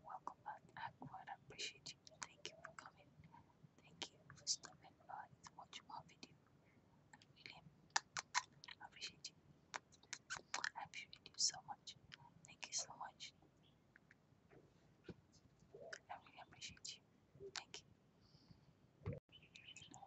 Welcome back, Aqua. I appreciate you. Thank you for coming. Thank you for stopping by to watch my video. I really appreciate you. I appreciate you so much. Thank you so much. I really appreciate you. Thank you. Hello, hello hello.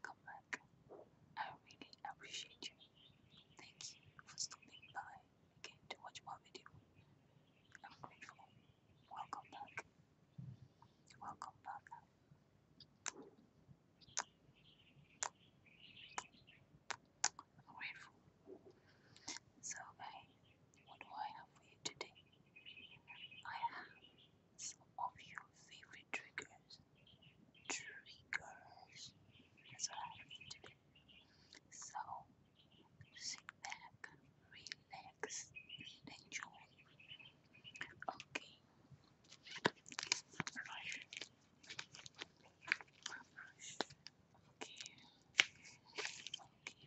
Hello I really appreciate you. Thank you for stopping by again to watch my video. I'm grateful. Welcome back. Welcome back. I'm grateful. So, guys, what do I have for you today? I have some of your favorite triggers. Triggers. That's what I mean today. So sit back, relax, and enjoy. Okay. Brush. Brush. Okay. Okay.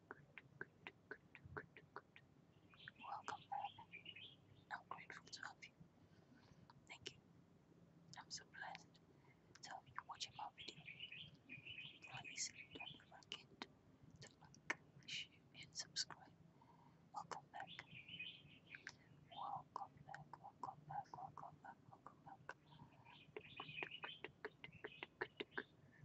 welcome, Father. I'm grateful to have you. Thank you. I'm so blessed to have watching my video. Please don't forget to like, and subscribe. Welcome back. Welcome back. Welcome back. Welcome back.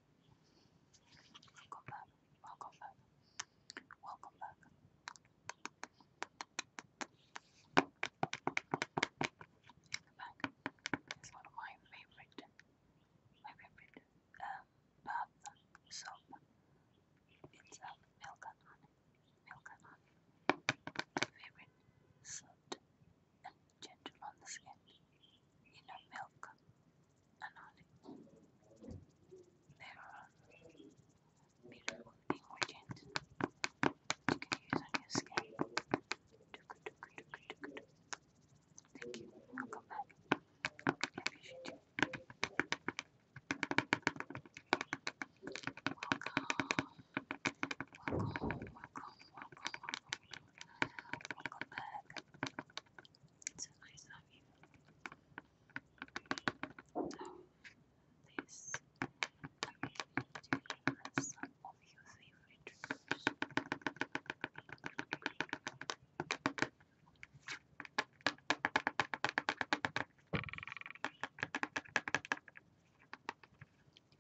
Welcome back. Welcome back. Welcome back. Back one of my favorite, my favorite bath soap. It's um, milk and honey, milk and honey. favorite soap gentle on the skin, yellow milk, and olive. There are beautiful ingredients you can use on your skin. Thank you. i back. Welcome, welcome, welcome, welcome. Welcome back. So nice of you. Okay. So this you need to give us some of your favorite foods.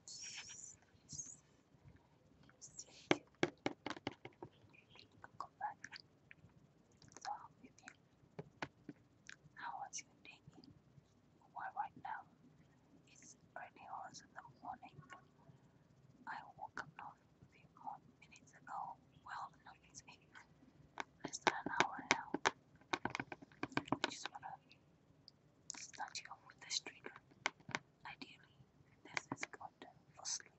Yes, yes. 입술이 you. How was your day? Well, right now it's really hot in the morning. I woke up now a few minutes ago. Well, no, it's eight. less than an hour now. I just wanna start you off with this trigger. Ideally, this is good for sleep.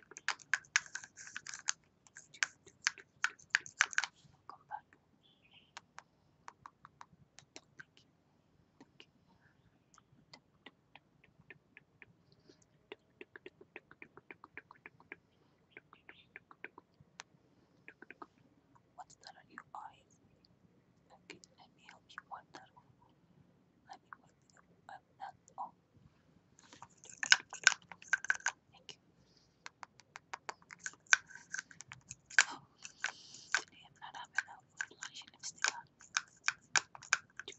Thank you. What's that on your eyes? Okay, let me help you wipe that off. Let me wipe you up. That's all. Oh, Thank you. Oh, today I'm not having a food lunch and it's still on. Okay.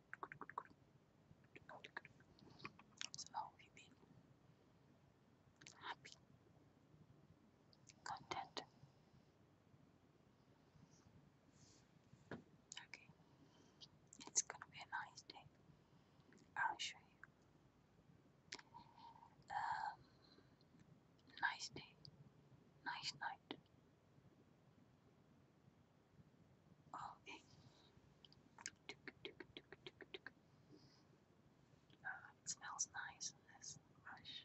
So how have you been? Happy? Content? Okay. It's gonna be a nice day. I'll show you. Um, nice day. Nice night. Oh, eh. uh, it smells nice in this brush.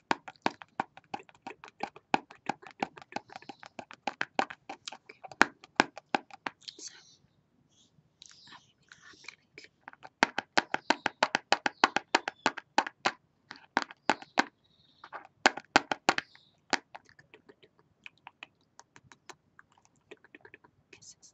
So, have you been happy lately? Kisses.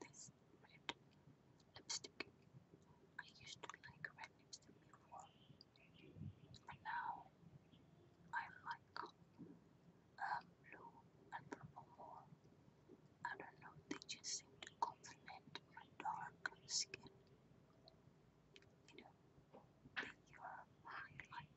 this lipstick. I used to like red lipstick before, but now I like uh, blue and purple more. I don't know, they just seem to complement my dark skin. You know, they are highlight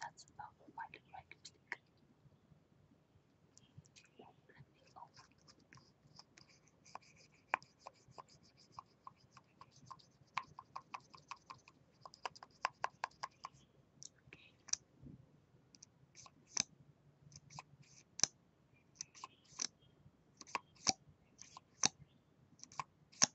That's about my right click. Let me open. Okay.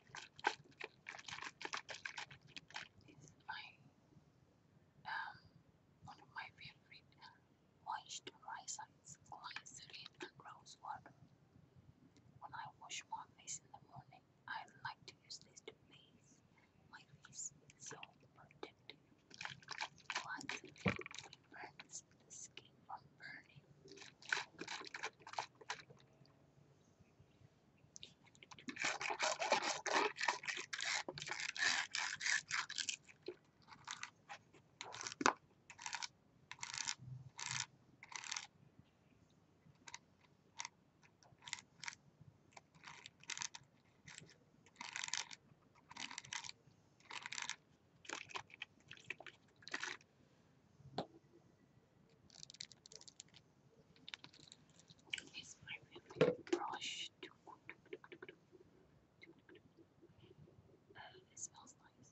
is my um, one of my favorite moisturizers, glycerin rose water. When I wash my face in the morning, I like to use this to face my face so protective. Glycerin prevents the just keep on burning. Is my favorite brush. Uh, it smells nice.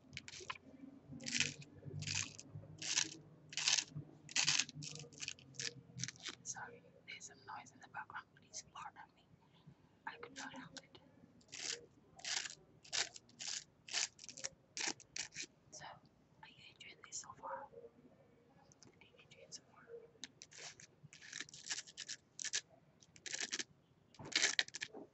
Sorry, there's some noise in the background. Please pardon me. I could not help it. So, are you enjoying this so far? Are you enjoying so far? Thank you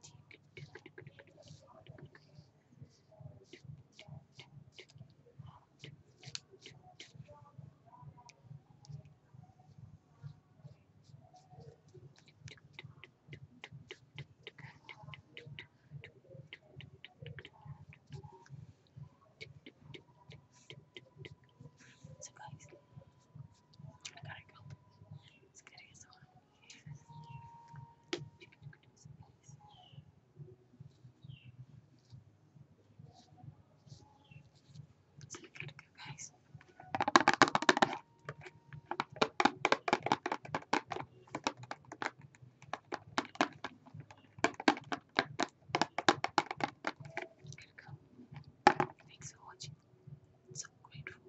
So guys, I gotta go. It's good as well. It's looking good, guys. Thanks for watching. So grateful.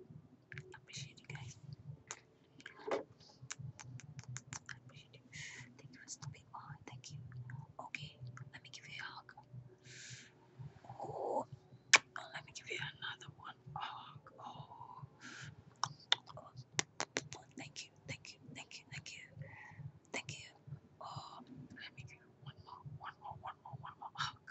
Appreciate you guys. I appreciate you. Thank you for stopping by. Thank you. Okay, let me give you a hug. Oh, let me give you another one. Hug. oh, thank you, thank you, thank you, thank you, thank you. Oh, let me give you one more, one more, one more, one more hug.